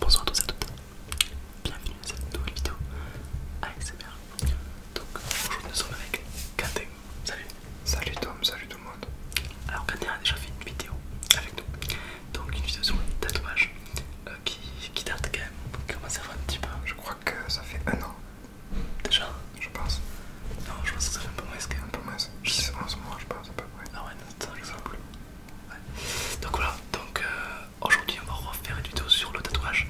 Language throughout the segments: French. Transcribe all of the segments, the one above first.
Bonsoir à tous et à toutes, bienvenue dans cette nouvelle vidéo ASMR. Donc aujourd'hui nous sommes avec Quentin. Salut! Salut Tom, salut tout le monde. Alors Quentin a déjà fait une vidéo avec nous, donc une vidéo sur le tatouage euh, qui, date quand même, qui commence à faire un petit peu. Je crois que ça fait un an. Déjà Je pense. Non, je pense que ça fait un peu moins que. Un peu moins. Je sais, en ce moment, je pense pas Ah ouais, non, attends, plus. Donc voilà, donc euh, aujourd'hui, on va refaire une vidéo sur le tatouage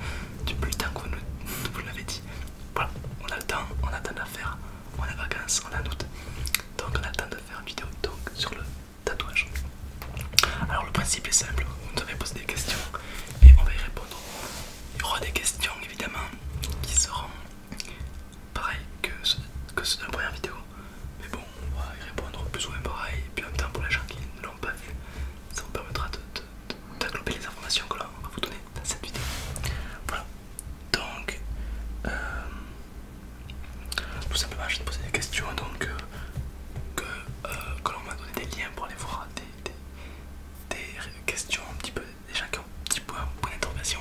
depuis le temps que vous, vous l'avez dit. Voilà, on a le temps, on a le de la faire. On a vacances, on a août. Donc on a le temps de faire une vidéo sur le tatouage. Alors le principe est simple, vous nous avez posé des questions et on va y répondre. Il y aura des questions évidemment qui seront pareilles que ceux que première vidéo, mais bon, on va y répondre plus ou moins pareil. Et puis en même temps, pour les gens qui ne l'ont pas vu, ça vous permettra de, les informations que l'on va vous donner dans cette vidéo. Voilà, donc euh, tout simplement, je vais te poser des questions donc, euh, euh, que, l'on va donner des liens pour aller voir des questions un petit peu des gens qui ont un petit point, d'intervention d'interrogation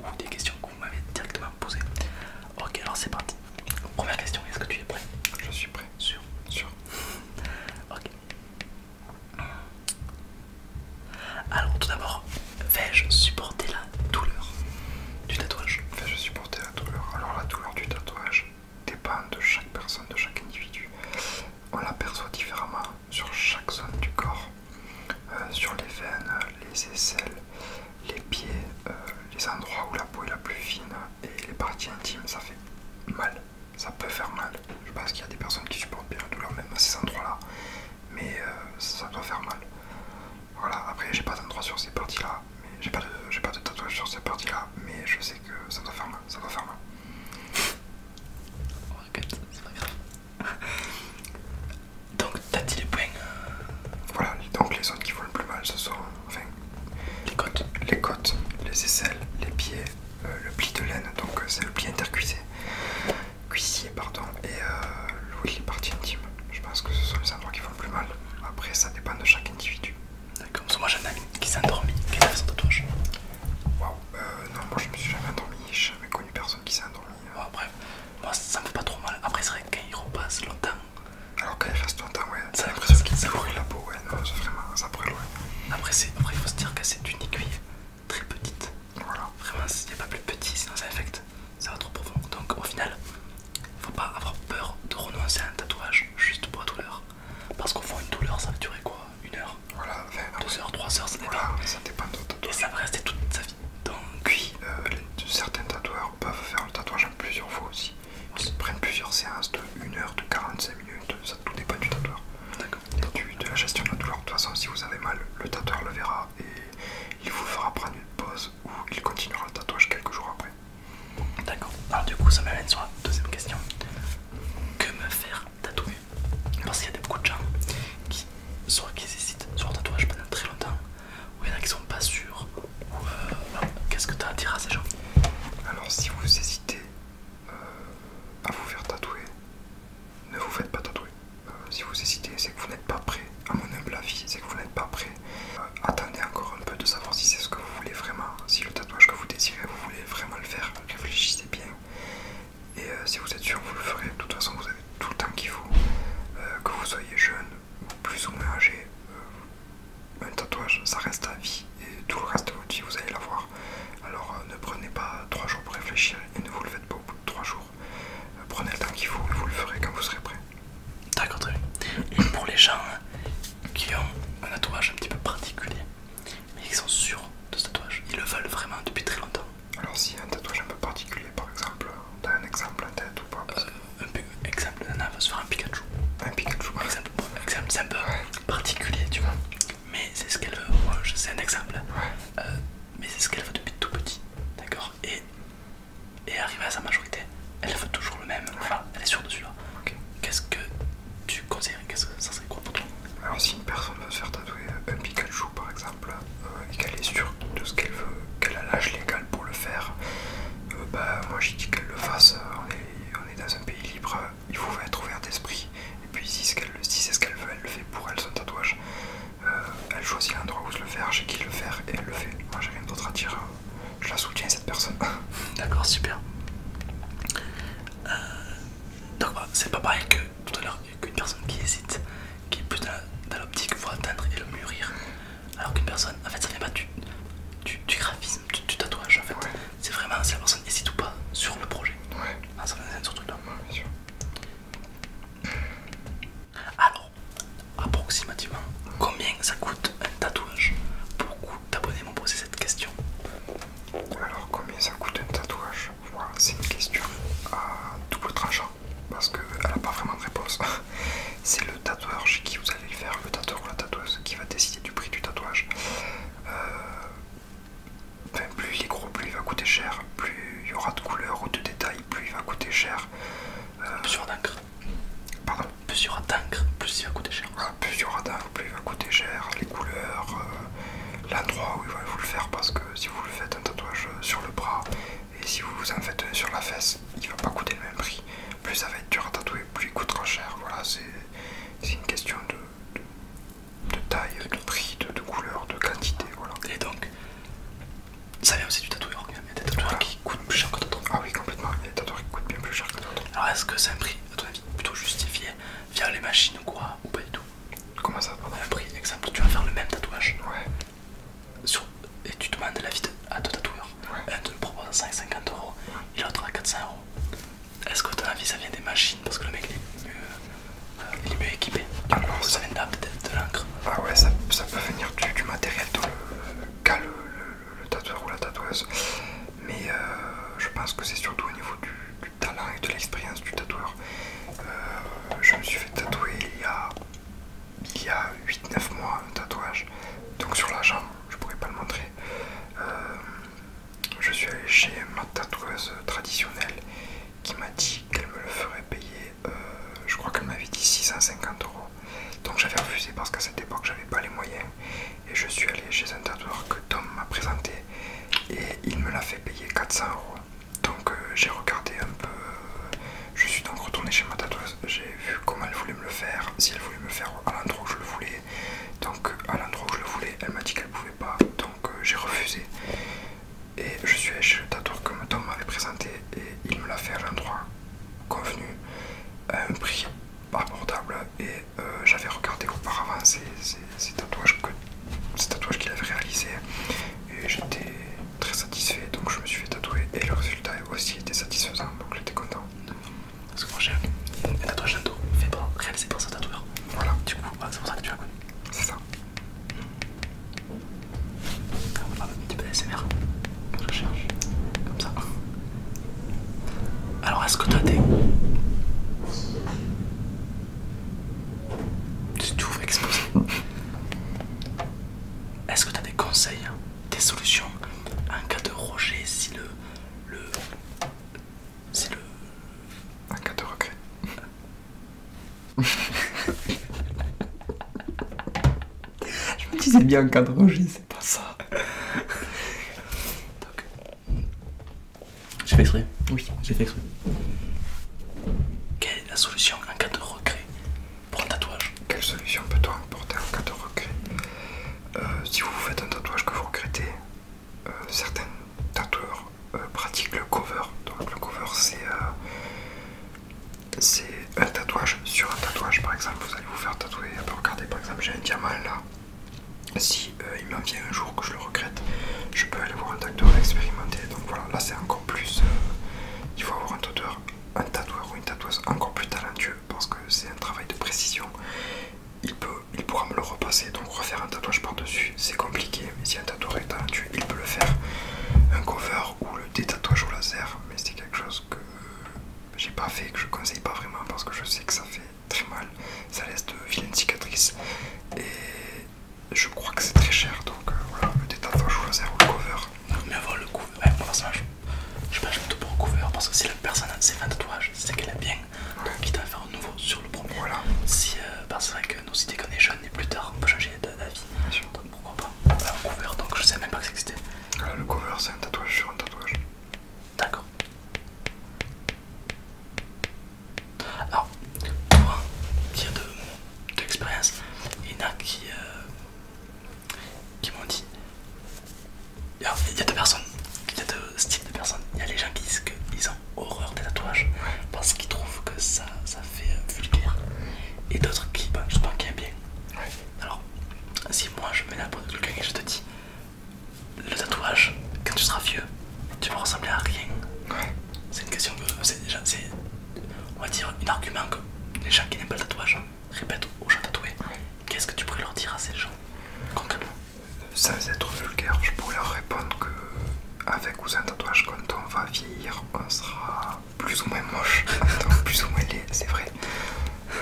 ou des questions que vous m'avez directement posées. Ok, alors c'est parti. Première question, est-ce que tu es prêt Je suis prêt. Sûr Sûr. ok. Alors tout d'abord, vais-je supporter la douleur du tatouage Vais-je supporter la douleur Alors la douleur du tatouage dépend de chaque personne, de chaque individu on l'aperçoit différemment sur chaque zone du corps, euh, sur les veines, les aisselles, les pieds, euh, les endroits où la peau est la plus fine et les parties intimes, ça fait mal, ça peut faire mal. Je pense qu'il y a des personnes qui supportent bien la douleur même à ces endroits-là, mais euh, ça doit faire mal. Voilà, après j'ai pas d'endroit sur ces parties-là, mais j'ai pas, pas de tatouage sur ces parties-là, mais je sais que ça doit faire mal, ça doit faire mal donc t'as dit les poings. Euh, voilà, donc les zones qui font le plus mal ce sont enfin, les côtes, les côtes, les aisselles, les pieds, euh, le pli de laine, donc euh, c'est le pli intercuissé, cuissier pardon, et l'ouïe, les parties intimes. Je pense que ce sont les endroits qui font le plus mal. Après ça dépend de chaque individu. D'accord, moi j'en ai qui s'est endormi, qui bah, euh, non, moi je me suis jamais endormi, j'ai jamais connu personne qui s'est endormi. Euh. Bon, bref, moi ça me fait pas trop mal. Après, c'est vrai que quand il repasse longtemps. Alors qu'il reste longtemps, ouais, ça l'impression qu'il ça la peau, ouais, non, vraiment, ça pourrait. loin. Après, il faut se dire que c'est une aiguille très petite. Voilà. Vraiment, s'il n'y pas plus petit, sinon ça infecte, ça va trop profond. Donc au final, faut pas avoir peur de renoncer à un tatouage juste pour la douleur. Parce qu'au fond, une douleur, ça va durer quoi Une heure voilà, 2 heures, 3 heures, ça dépend. ça va rester toute sa vie. Donc, oui. Euh, certains tatoueurs peuvent faire le tatouage en plusieurs fois aussi. Ils prennent plusieurs séances de 1 heure, de 45 minutes, ça tout dépend du tatoueur. D'accord. De la gestion de la douleur. De toute façon, si vous avez mal, le tatoueur le verra et il vous fera prendre une pause ou il continuera le tatouage quelques jours après. D'accord. Alors, du coup, ça m'amène sur la deuxième question. Que me faire tatouer parce qu'il y a beaucoup de gens qui soit qui hésitent sur le tatouage pendant très longtemps ou il y en a qui sont pas sûrs euh, qu'est-ce que tu as à dire à ces gens alors si vous hésitez euh, à vous faire tatouer ne vous faites pas tatouer euh, si vous hésitez c'est que vous n'êtes pas prêt à mon humble avis c'est que vous n'êtes pas prêt attendez encore un peu de savoir si c'est ce que vous voulez vraiment si le tatouage que vous désirez vous voulez vraiment le faire réfléchissez bien. Et euh, si vous êtes sûr, vous le ferez. De toute façon, vous avez tout le temps qu'il faut. Euh, que vous soyez jeune ou plus ou moins âgé, euh, un tatouage, ça reste à vie. Et tout le reste de votre vie, vous allez l'avoir. Alors ne prenez pas trois jours pour réfléchir et ne vous le faites pas au bout de trois jours. prenez le temps qu'il faut et vous le ferez quand vous serez prêt. D'accord, très bien. Et pour les gens qui ont un tatouage un petit peu particulier, mais ils sont sûrs de ce tatouage, ils le veulent vraiment depuis très longtemps. Alors si un tatouage un peu particulier par exemple, un exemple en tête ou pas euh, Un exemple, Nana va se faire un Pikachu. Un Pikachu exemple, c'est un peu particulier tu vois, mais c'est ce qu'elle veut, c'est un exemple, euh, mais c'est ce qu'elle veut depuis tout petit, d'accord et, et à sa majorité, elle veut toujours le même, enfin elle est sûre de celui-là. Qu'est-ce que tu conseilles Qu'est-ce que ça serait quoi pour toi Alors, si une personne veut se faire tatouer euh, un Pikachu par exemple euh, et qu'elle est sûre de ce qu'elle veut, qu'elle a l'âge légal pour le faire, euh, bah moi j'ai dit qu'elle le fasse. On est, dans un pays libre, il faut être ouvert d'esprit. Et puis, si c'est ce qu'elle veut, elle le fait pour elle son tatouage. elle choisit l'endroit où se le faire, chez qui le faire et elle le fait. Moi j'ai rien d'autre à dire, je la soutiens cette personne. D'accord, super. Euh, donc c'est pas pareil que tout à l'heure qu'une personne qui hésite, qui est plus dans, l'optique, faut atteindre et le mûrir. Alors qu'une personne, en fait ça vient pas du, graphisme, du, tatouage en fait. C'est vraiment si la personne hésite ou pas sur le projet. Ouais. Ah, ça Alors, approximativement, combien ça coûte un tatouage Beaucoup d'abonnés m'ont posé cette question. Alors combien ça coûte un tatouage c'est une question à double tranchant parce qu'elle n'a pas vraiment de réponse. c'est le tatoueur chez qui vous allez le faire, le tatoueur ou la tatoueuse, qui va décider du prix du tatouage. Euh, plus il est gros, plus il va coûter cher, plus il y aura de couleurs ou de détails, plus il va coûter cher. Euh, plus il y aura d'encre. Pardon Plus il y aura plus il va coûter cher. Ah, plus il y aura plus il va coûter cher, les couleurs, euh, l'endroit où il va vous le faire parce que si vous le faites un tatouage euh, sur le bras et si vous en faites sur la fesse, il ne va pas coûter le même prix. Plus ça va être dur à tatouer, plus il coûtera cher. Voilà, c'est une question de, taille, de prix, de, couleur, de quantité. Et donc, ça vient aussi du tatouage Il y a des tatouages qui coûtent plus cher que d'autres. Ah oui, complètement. Il y a des tatouages qui coûtent bien plus cher que d'autres. Alors, est-ce que c'est un prix, à ton avis, plutôt justifié via les machines ou quoi Ou pas du tout Comment ça pardon Un prix, exemple, tu vas faire le même tatouage. et tu demandes l'avis à deux tatoueurs. Un te le propose à 150 euros et l'autre à 400 euros. Est-ce que ton avis ça vient des machines parce que le mec il est mieux, euh, équipé ah non, ça, vient de, de, de l'encre. Ah ouais, ça, peut venir du, matériel de le, cale le, tatoueur ou la tatoueuse, mais euh, je pense que c'est surtout au niveau du, talent et de l'expérience du tatoueur. Euh, je me suis fait tatouer il y a, il y a 8-9 mois un tatouage, donc sur la jambe, je pourrais pas le montrer. Euh, je suis allé chez ma tatoueuse traditionnelle qui m'a dit qu'elle me le ferait payer, je crois qu'elle m'avait dit 650 euros. Donc j'avais refusé parce qu'à cette époque j'avais pas les moyens et je suis allé chez un tatoueur que Tom m'a présenté et il me l'a fait payer 400 euros. Donc euh, j'ai regardé un peu, euh, je suis donc retourné chez ma tatoueuse, j'ai vu comment elle voulait me le faire, si elle voulait me le faire à l'endroit où je le voulais. Donc à l'endroit où je le voulais, elle m'a dit qu'elle pouvait pas, donc euh, j'ai refusé. Et je suis allé chez le tatoueur que Tom m'avait présenté et il me l'a fait à l'endroit convenu à un prix abordable et euh, j'avais regardé auparavant ces, tatouages qu'il avait réalisés et j'étais très satisfait donc je me suis fait tatouer et le résultat aussi était satisfaisant donc j'étais content. Parce que moi j'ai un tatouage château fait pour réalisé pour sa tatoueur. Voilà. Du coup c'est pour ça que tu as connu. C'est ça. On va faire un petit peu d'ASMR. Je recherche Comme ça. Alors est-ce que des... des, Tu va exposé. Est-ce que t'as des conseils, hein, des solutions en cas de rejet si le... le si le... En cas de rejet Je me disais bien en cas de rejet, c'est pas ça. J'ai fait exprès Oui, j'ai fait exprès. Quelle est la solution en cas de regret pour un tatouage Quelle solution peut-on apporter en cas de regret euh, Si vous faites un tatouage que vous regrettez, euh, certains tatoueurs euh, pratiquent le cover. Donc le cover c'est un tatouage sur un tatouage par exemple. Vous allez vous faire tatouer. Regardez par exemple j'ai un diamant là si euh, il m'en vient un jour que je le regrette, je peux aller voir un tatoueur expérimenté. Donc voilà, là c'est encore plus. Euh, il faut avoir un tatoueur, un tatoueur ou une tatoueuse encore plus talentueux parce que c'est un travail de précision. Il, peut, il pourra me le repasser, donc refaire un tatouage par-dessus, c'est compliqué. Mais si un tatoueur est talentueux, il peut le faire. Un cover ou le détatouage au laser, mais c'est quelque chose que j'ai pas fait, que je conseille pas vraiment parce que je sais que ça fait très mal, ça laisse de vilaines cicatrices et je crois que c'est très cher donc euh, voilà, le détaffage ou laser ou le cover. mais avoir le cover ouais, pour l'instant je pense plutôt pour le cover parce que si la personne a ses un tatouage c'est qu'elle a bien, donc quitte à faire un nouveau sur le premier. Voilà. Si, que euh, bah, c'est vrai que nos idées qu'on est jeunes et plus tard on peut changer d'avis, donc pourquoi pas. le un donc je sais même pas que ça existait. Voilà, euh, le cover c'est un tatouage sur un tatouage. D'accord. Alors, pour qui a de, l'expérience, il y en a qui, euh, m'ont dit. il y a deux personnes, il y a deux styles de personnes. Il y a les gens qui disent qu'ils ont horreur des tatouages parce qu'ils trouvent que ça, fait euh, vulgaire. Et d'autres qui, bah, je pense, qui aiment bien. Alors, si moi je mets la peau de quelqu'un et je te dis le tatouage, quand tu seras vieux, tu vas ressembler à rien. C'est une question que. C'est déjà. C'est. On va dire un argument que les gens qui n'aiment pas le tatouage répètent aux gens tatoués. Qu'est-ce que tu pourrais leur dire à ces gens concrètement Sans être vulgaire, je pourrais leur répondre que. Avec ou sans tatouage, quand on va vieillir, on sera plus ou moins moche, plus ou moins laid, c'est vrai. Euh,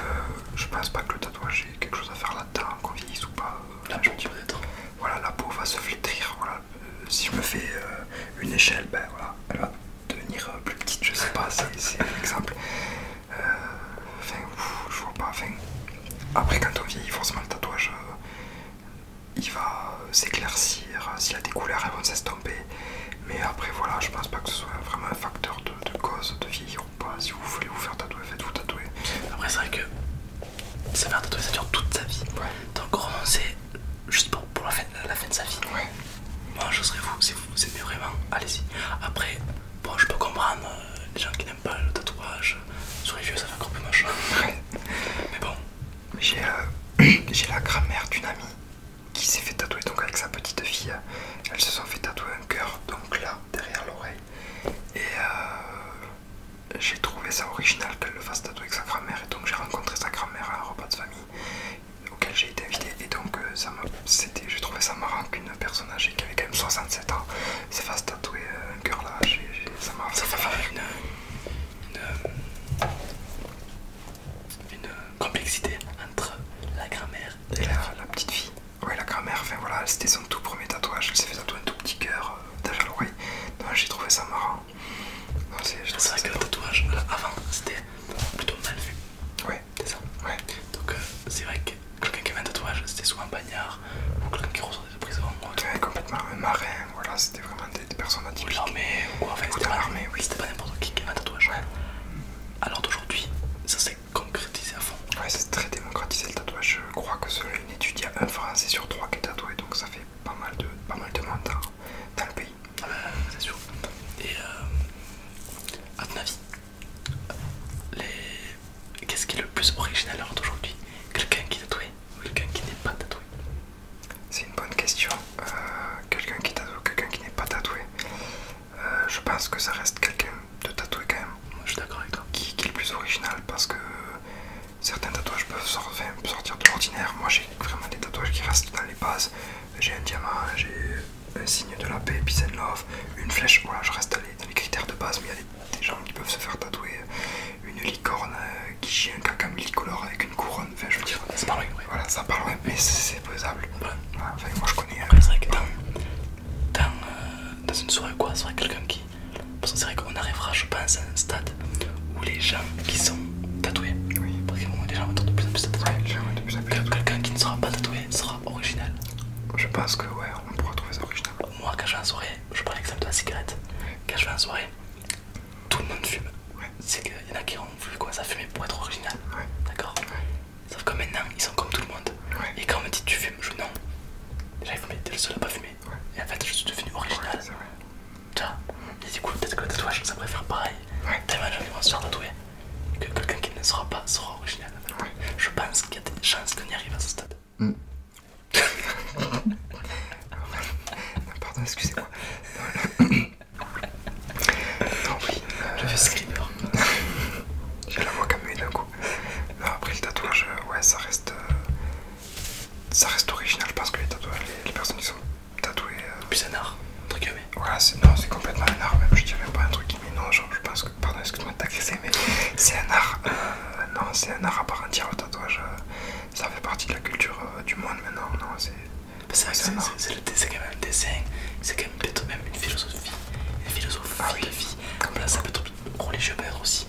je pense pas que le j'ai quelque chose à faire là-dedans, qu'on vieillisse ou pas. Euh, la peau Voilà, la peau va se flétrir. Voilà. Euh, si je me fais euh, une échelle, ben voilà, elle va devenir plus petite, je sais pas, c'est un exemple. Enfin, je vois pas. après, quand on vieillit, forcément le tatouage, il va s'éclaircir. S'il a des couleurs, elles vont s'estomper. Mais après, voilà, je pense pas que ce soit vraiment un facteur de, de cause de vieillir si vous voulez vous faire tatouer, faites-vous tatouer. Après, c'est vrai que sa mère tatouer, ça dure toute sa vie. Donc, romancer juste pour, la, fin, de sa vie. Moi, je serais vous, si vous aimez vraiment, allez-y. Après, bon, je peux comprendre euh, les gens qui n'aiment pas le tatouage. Sur les vieux, ça fait encore plus machin. Mais bon. Euh, j'ai la grammaire d'une amie qui s'est fait tatouer donc avec sa petite fille. Euh, elles se sont fait tatouer un cœur donc là derrière l'oreille. Et euh, j'ai trouvé ça original qu'elle le fasse tatouer avec sa grand-mère. Et donc j'ai rencontré sa grand-mère à un repas de famille auquel j'ai été invité. Et donc euh, ça c'était, j'ai trouvé ça marrant qu'une personne âgée qui avait quand même 67 ans se fasse tatouer un cœur là. ça fait une, une complexité entre la grand-mère et euh, la, petite fille Ouais, la grand-mère, enfin voilà, c'était son tout premier tatouage. Elle s'est fait tatouer un tout petit cœur euh, déjà à J'ai trouvé ça marrant. C'est vrai que le tatouage euh, avant c'était plutôt mal vu. Ouais, c'est ça. Ouais. Donc c'est vrai que quelqu'un qui avait un tatouage c'était soit un bagnard ou quelqu'un qui ressortait de prison. complètement un marin, voilà, c'était vraiment des, personnes atypiques. Ou l'armée, ou quoi, fait c'était pas, oui. pas n'importe qui qui avait un tatouage alors d'aujourd'hui, ça s'est concrétisé à fond. Ouais, c'est très démocratisé le tatouage. Je crois que selon une étude, il y a un Français sur trois qui est tatoué, donc ça fait pas mal de, pas mal de monde dans, le pays. Ah bah, c'est sûr. Et euh, à ton avis, les... qu'est-ce qui est le plus original l'heure d'aujourd'hui Quelqu'un qui est tatoué ou quelqu'un qui n'est pas tatoué c'est une bonne question. Euh, quelqu'un qui est tatoué, quelqu'un qui n'est pas tatoué. Euh, je pense que ça reste quelqu'un de tatoué quand même. Je d'accord Qui, est le plus original parce que certains tatouages peuvent sortir, de l'ordinaire. Moi j'ai vraiment des tatouages qui restent dans les bases. J'ai un diamant, j'ai un signe de la paix, peace love, une flèche. Voilà, je reste dans les, critères de base, mais il y a des, gens qui peuvent se faire tatouer euh, une licorne euh, qui chie un caca multicolore avec une couronne. Enfin, je veux dire, ça parle, voilà, ça parle, mais c'est faisable. moi je c'est vrai que euh, dans, une soirée ou quoi, c'est vrai quelqu'un qui. Parce que c'est qu'on arrivera, je pense, à un stade où les gens qui sont tatoués, oui. parce que les gens vont être de plus en plus tatoués. quelqu'un qui ne sera pas tatoué sera original. Je pense que, ouais, on pourra trouver ça original. Moi, quand je vais en soirée, je prends l'exemple de la cigarette. Quand je vais en soirée, tout le monde fume. C'est qu'il y en a qui ont voulu commencer à fumer pour être original. D'accord Sauf que maintenant ils sont comme tout le monde. Et quand on me dit tu fumes, je non. Déjà ils dire que t'es le seul à pas fumer. Et en fait je suis devenu original. tu vois Et du coup peut-être que le tatouage ça pourrait faire pareil. Tellement j'ai envie de se faire tatouer. Que quelqu'un qui ne sera pas sera original. Je pense qu'il y a des chances qu'on y arrive à ce stade. Hmm. pardon, excusez-moi. Non, oui. je fais euh, scriber. J'ai la voix comme une d'un coup. Non, après le tatouage, euh, ouais, ça reste. Euh, ça reste original parce que les tatouages, les, personnes qui sont tatouées. C'est Plus un art, entre guillemets. Voilà, non, c'est complètement un art, même je dirais pas un truc mais non, genre, je pense que. Pardon, excuse-moi de t'agresser, mais c'est un art. non, c'est un art à part entière le tatouage. ça fait partie de la culture du monde maintenant, non, c'est. Ah, c'est quand même un dessin, c'est quand même peut-être même une philosophie, une philosophie ah de vie. Comme là, ça peut être religieux, peut-être aussi.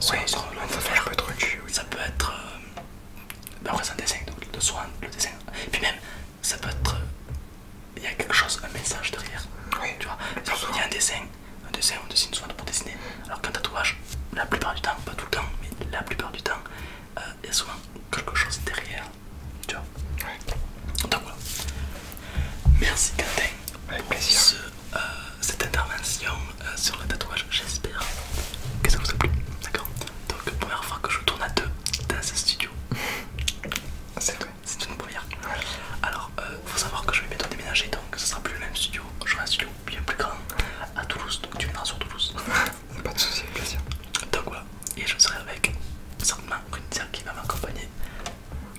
ça, Peut être ça peut être. ben bah, après, c'est un dessin, donc le soin, le dessin. Puis même, ça peut être. Il y a quelque chose, un message derrière. Tu vois, il y a un dessin, un dessin, on dessine souvent pour dessiner. Alors qu'un tatouage, la plupart du temps, pas tout le temps, mais la plupart du temps, euh, il y a souvent quelque chose derrière tu vois Donc voilà. Merci Quentin pour euh, cette intervention euh, sur le tatouage. J'espère que ça vous a plu. D'accord Donc première fois que je tourne à deux dans ce studio. C'est vrai. C'est une première. Alors, euh, faut savoir que je vais bientôt déménager, donc ce sera plus le même studio. je vais un studio bien plus grand à Toulouse, donc tu viendras sur Toulouse. Pas de soucis, plaisir. Donc voilà, et je serai avec certainement une qui va m'accompagner,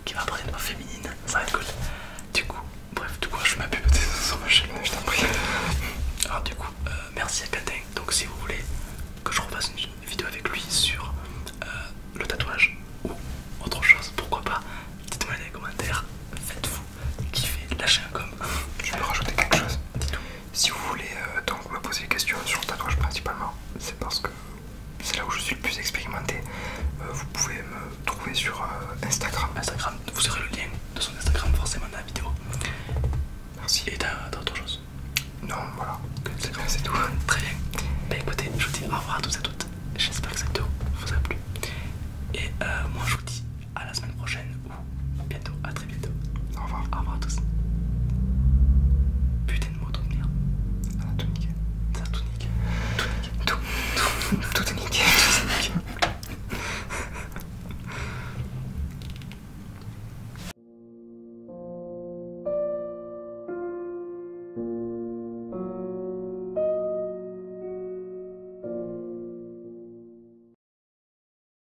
qui va apprendre une ma féminine, ça va être cool. Du coup, bref, du coup, je m'appuie peut-être sur ma chaîne, je t'en prie. Alors, du coup, euh, merci à Catin. Donc, si vous voulez que je refasse une vidéo avec lui sur euh, le tatouage ou autre chose, pourquoi pas, dites-moi dans les commentaires, faites-vous kiffer, lâchez un com. Je peux rajouter quelque chose. Dis-nous. Si vous voulez euh, donc me poser des questions sur le tatouage principalement, c'est parce que c'est là où je suis le plus expérimenté. Euh, vous pouvez me trouver sur euh, Instagram. Instagram, vous aurez le lien de son Instagram forcément dans la vidéo. Merci. Et t'as autre chose Non, voilà. C'est tout. Très bien. Bah écoutez, je vous dis au revoir à tous et à toutes. J'espère que cette vidéo vous a plu. Et moi je vous dis à la semaine prochaine bientôt, à très bientôt. Au revoir. Au revoir à tous. Putain de moto de merde. Ça tout niqué. Ça a tout niqué. Tout niqué. Tout, tout, tout, tout Tout est